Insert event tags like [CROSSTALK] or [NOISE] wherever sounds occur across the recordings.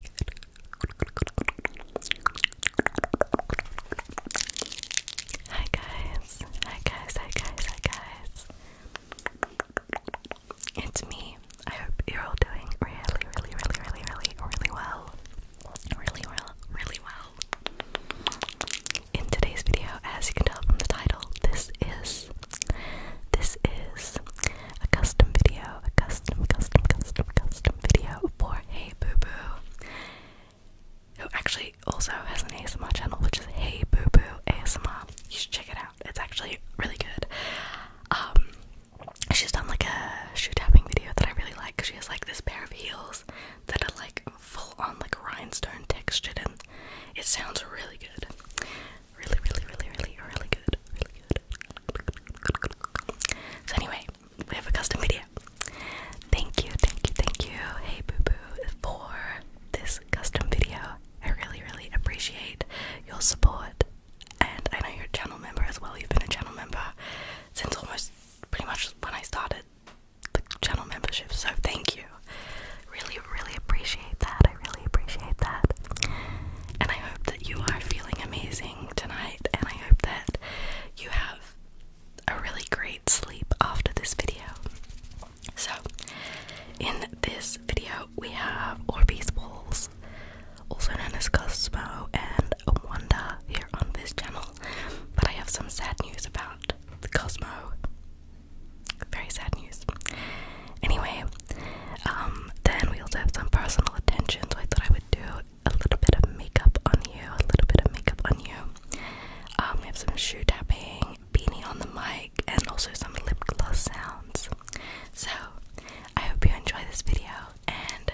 Hi guys, hi guys, hi guys, hi guys. It's me. I hope you're all doing really, really, really, really, really, really well. Really well, really well. In today's video, as you can tell from the title, this is this is a custom video, a custom, custom, custom, custom video for Hey Boo Boo, who actually also has an ASMR channel, which is Hey Boo Boo ASMR. You should check it out. It's actually really good. Um, she's done like a shoe tapping video that I really like. She has like this pair of heels that are like full on like rhinestone textured, and it sounds really good. Really, really, really, really, really good. So anyway, we have a custom video. Thank you, thank you, thank you, hey boo boo, for this custom video. I really, really appreciate your support. And I know you're a channel member as well. You've been a channel member since almost pretty much when I started the channel membership. So thank you. Really, really appreciate that. I really appreciate that. And I hope that you are feeling amazing tonight, and I hope that you have a really great sleep after this video. So, in this video, we have Orbeez Balls, also known as Cosmo and Wanda, here on this channel. But I have some sad news about the Cosmo. Very sad news. Anyway, um, then we also have some personal attention, so I thought I would do a little bit of makeup on you, a little bit of makeup on you. Um, we have some shoe tapping, beanie on the mic, and also some lip gloss sounds. So, I hope you enjoy this video, and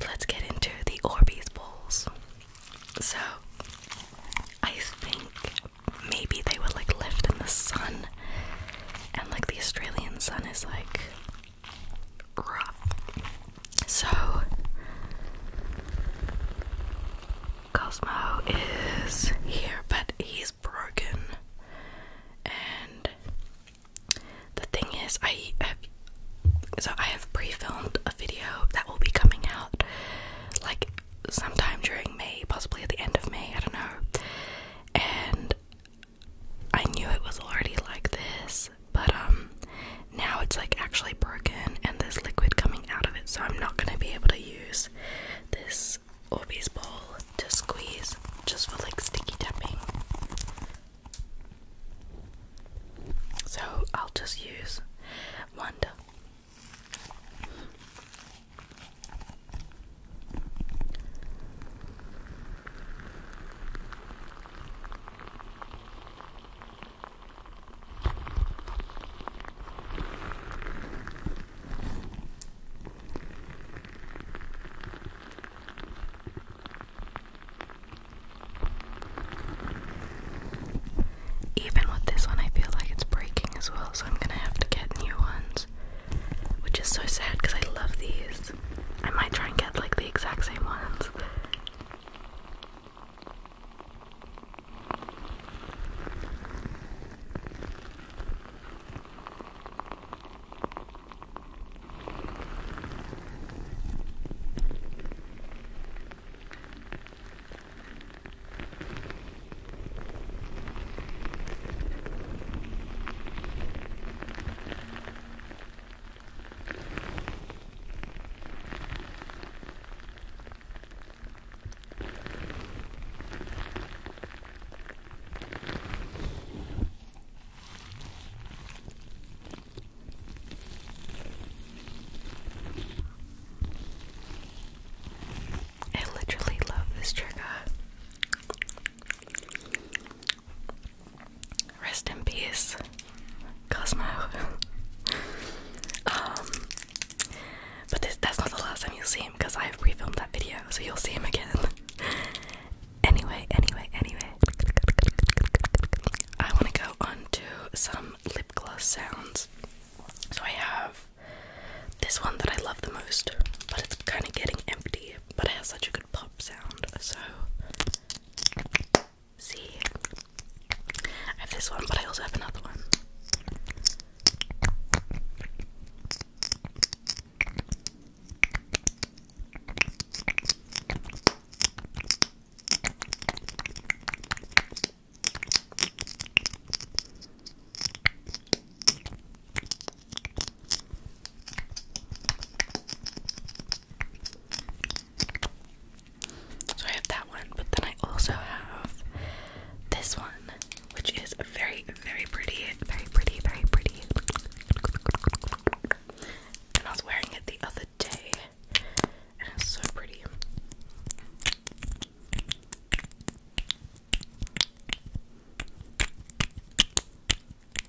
let's get into the Orbeez balls. So, I think maybe they would like lift in the sun, and like the Australian sun is like rough. So, Cosmo is here, but he's broken. And the thing is, I have so I have pre-filmed a video that will be coming out like sometime during May, possibly at the end of May. I don't know. And I knew it was already like this, but um now it's like actually broken and there's liquid coming out of it, so I'm not gonna be able to use this Orbeez ball to squeeze just for like sticky tapping. So I'll just use Wonder. Even with this one, I feel like it's breaking as well, so I'm gonna have to get new ones, which is so sad because I love these. I might try and get like the exact same ones. I literally love this trigger. Rest in peace, Cosmo. [LAUGHS] um, but that's not the last time you'll see him because i refilmed that video, so you'll see him again. [LAUGHS] anyway, anyway, anyway, I want to go on some lip gloss sounds. So I have this one that I love the most, but it's kind of getting empty, but it has such a good pop sound. So See, I have this one, but I also have another one. So I have that one, but then I also have this one, which is very, very pretty, very pretty, very pretty. And I was wearing it the other day, and it's so pretty.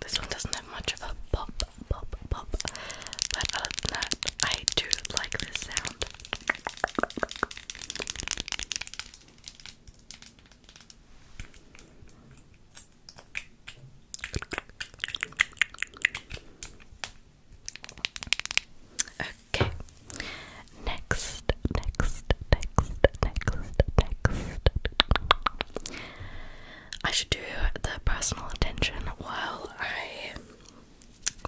This one doesn't have much of a pop, pop, pop, but other than that, I do like this sound. Okay. Next, next, next, next, next. I should do the personal attention while I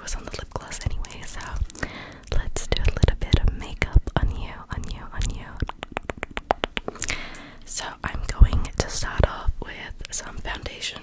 was on the lip gloss anyway, so let's do a little bit of makeup on you, on you, on you. So I'm going to start off with some foundation.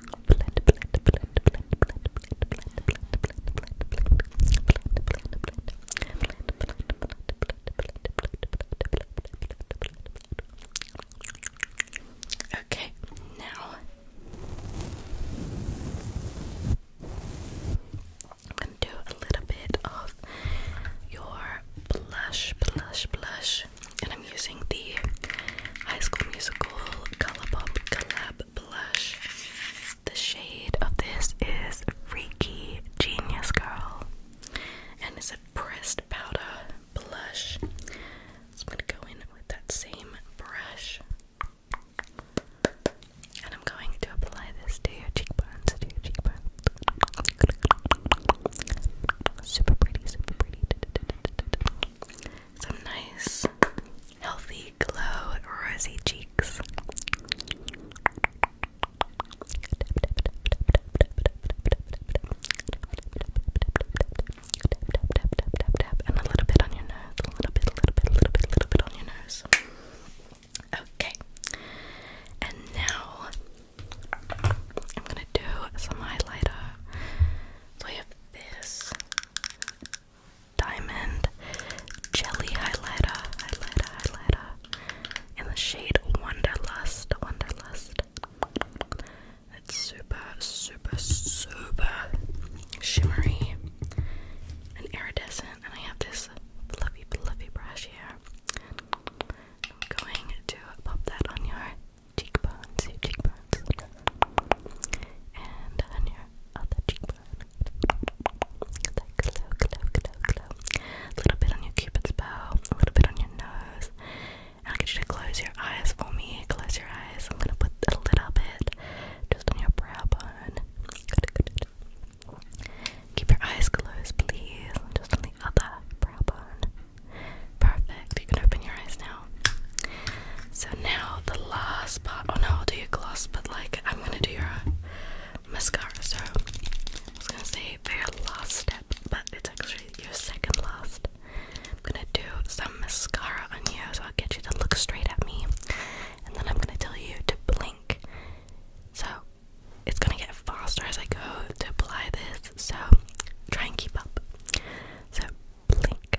Okay, now I'm gonna do a little bit of your blush, blush, blush, I'm using the High School Musical Colourpop Collab Blush. The shade of this is Freaky Genius Girl, and it's a pressed powder blush. I'm going to go in with that same brush. And I'm going to apply this to your cheekbones, to your cheekbones. Super pretty, super pretty some nice, healthy glow, rosy cheeks. And a little bit on your nose, a little bit, a little bit, a little bit, a little bit on your nose. Okay, and now I'm gonna do some highlighter. So I have this Diamond Jelly Highlighter, Highlighter, Highlighter in the shade Wonderlust, Wonderlust. It's super, super, super shimmery and iridescent. And I have this fluffy, fluffy brush here. I'm going to pop that on your cheekbones, cheekbones, and on your other cheekbone. A little bit on your cupid's bow, a little bit on your nose. I'll get you to close your eyes for me. Close your eyes. I'm gonna put a little bit just on your brow bone. Keep your eyes closed, please. Just on the other brow bone. Perfect. You can open your eyes now. So now the last part. Oh no, I'll do your gloss, but like I'm gonna do your uh, mascara. So I was gonna say your last step, but it's actually your second last. I'm gonna do some mascara on you, so I'll get you to look straight at me, and then I'm gonna tell you to blink. So it's gonna get faster as I go to apply this, so try and keep up. So blink,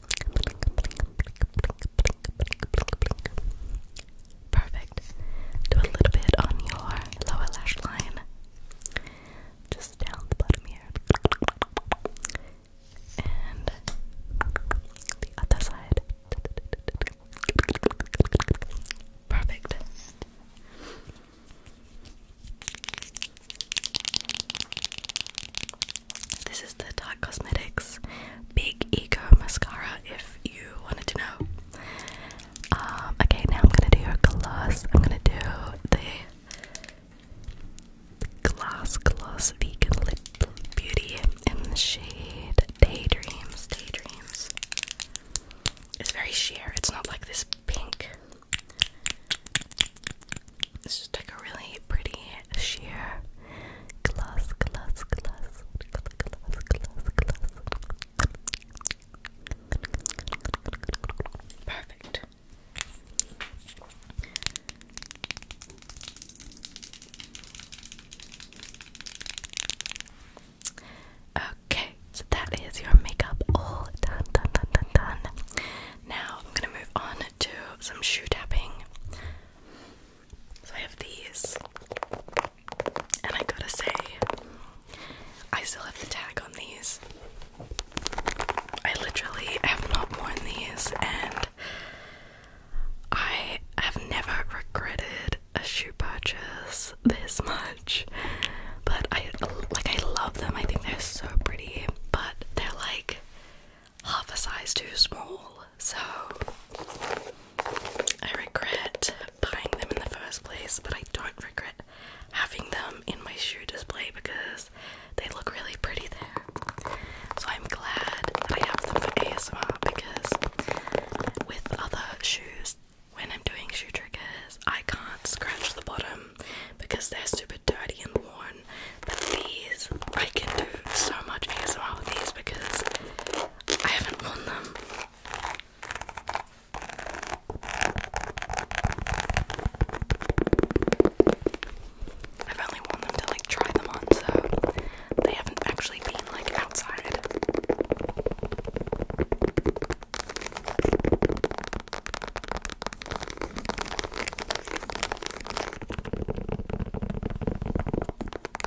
Perfect. Do a little bit on your lower lash line. Just down the bottom here. And the other side. Perfect. This is the Dark Cosmetics Big Ego Mascara, if you wanted to know. Um, okay, now I'm gonna do your gloss. I'm gonna do the Glass Gloss Vegan Lip Beauty in the shade Daydreams. Daydreams. It's very sheer, it's not like this pink. It's just like a really pretty sheer gloss, gloss, gloss, gloss, gloss, gloss, gloss. Perfect. Okay, so that is your makeup all done, done, done, done, done. Now I'm gonna move on to some shoe tapping. So I have these. And I gotta say, I still have the tag on these. I literally have not worn these, and I have never regretted a shoe purchase this much. But I like I love them. I think they're so pretty, but they're like half a size too small, so I regret buying them in the first place, but I don't regret having them in my shoe display because they look really pretty there. So I'm glad that I have them for ASMR because with other shoes, when I'm doing shoe triggers, I can't scratch the bottom because they're super dirty and worn. But these, I can do so much ASMR with these because I haven't worn them. I've only worn them to like try them on, so they haven't actually been like outside.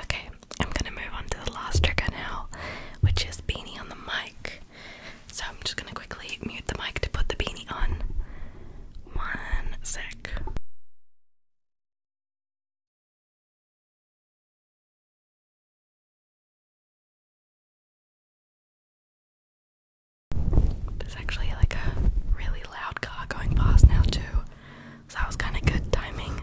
Okay, I'm gonna move on to the last trigger now, which is beanie on the mic. So I'm just gonna quickly mute the mic to put the beanie on. One sec. There's actually like a really loud car going past now, too. So that was kind of good timing.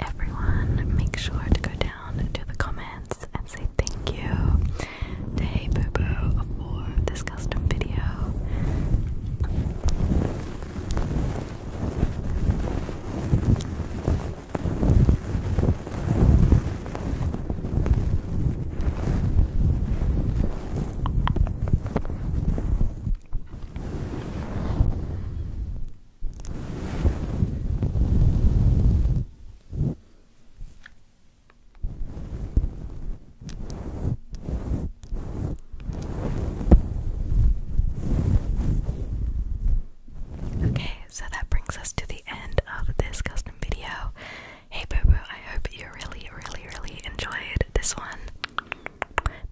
Everyone, make sure to go down to the comments and say thank you to Hey Boo Boo for this custom video. Okay, so that brings us to the end of this custom video. Hey Bobo, I hope you really, really, really enjoyed this one.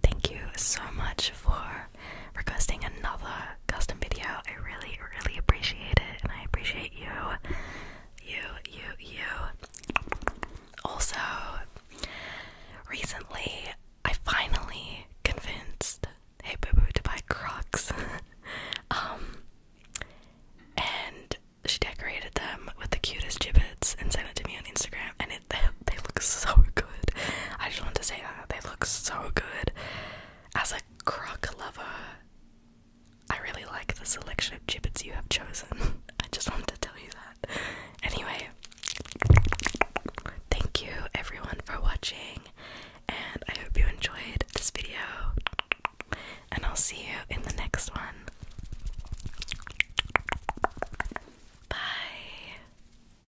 Thank you so much for requesting another custom video. I really, really appreciate it, and I appreciate you, you, you, you. Also, recently I finally convinced Hey Boo Boo to buy Crocs. [LAUGHS] um, and she decorated them with the cutest jibbits and sent it to me on Instagram, and it [LAUGHS] they look so good. I just want to say that uh, they look so good. As a croc lover, I really like the selection of gibbets you have chosen. [LAUGHS] I just want to tell you that. Anyway, thank you everyone for watching, and I hope you enjoyed this video. And I'll see you in the next one. Bye.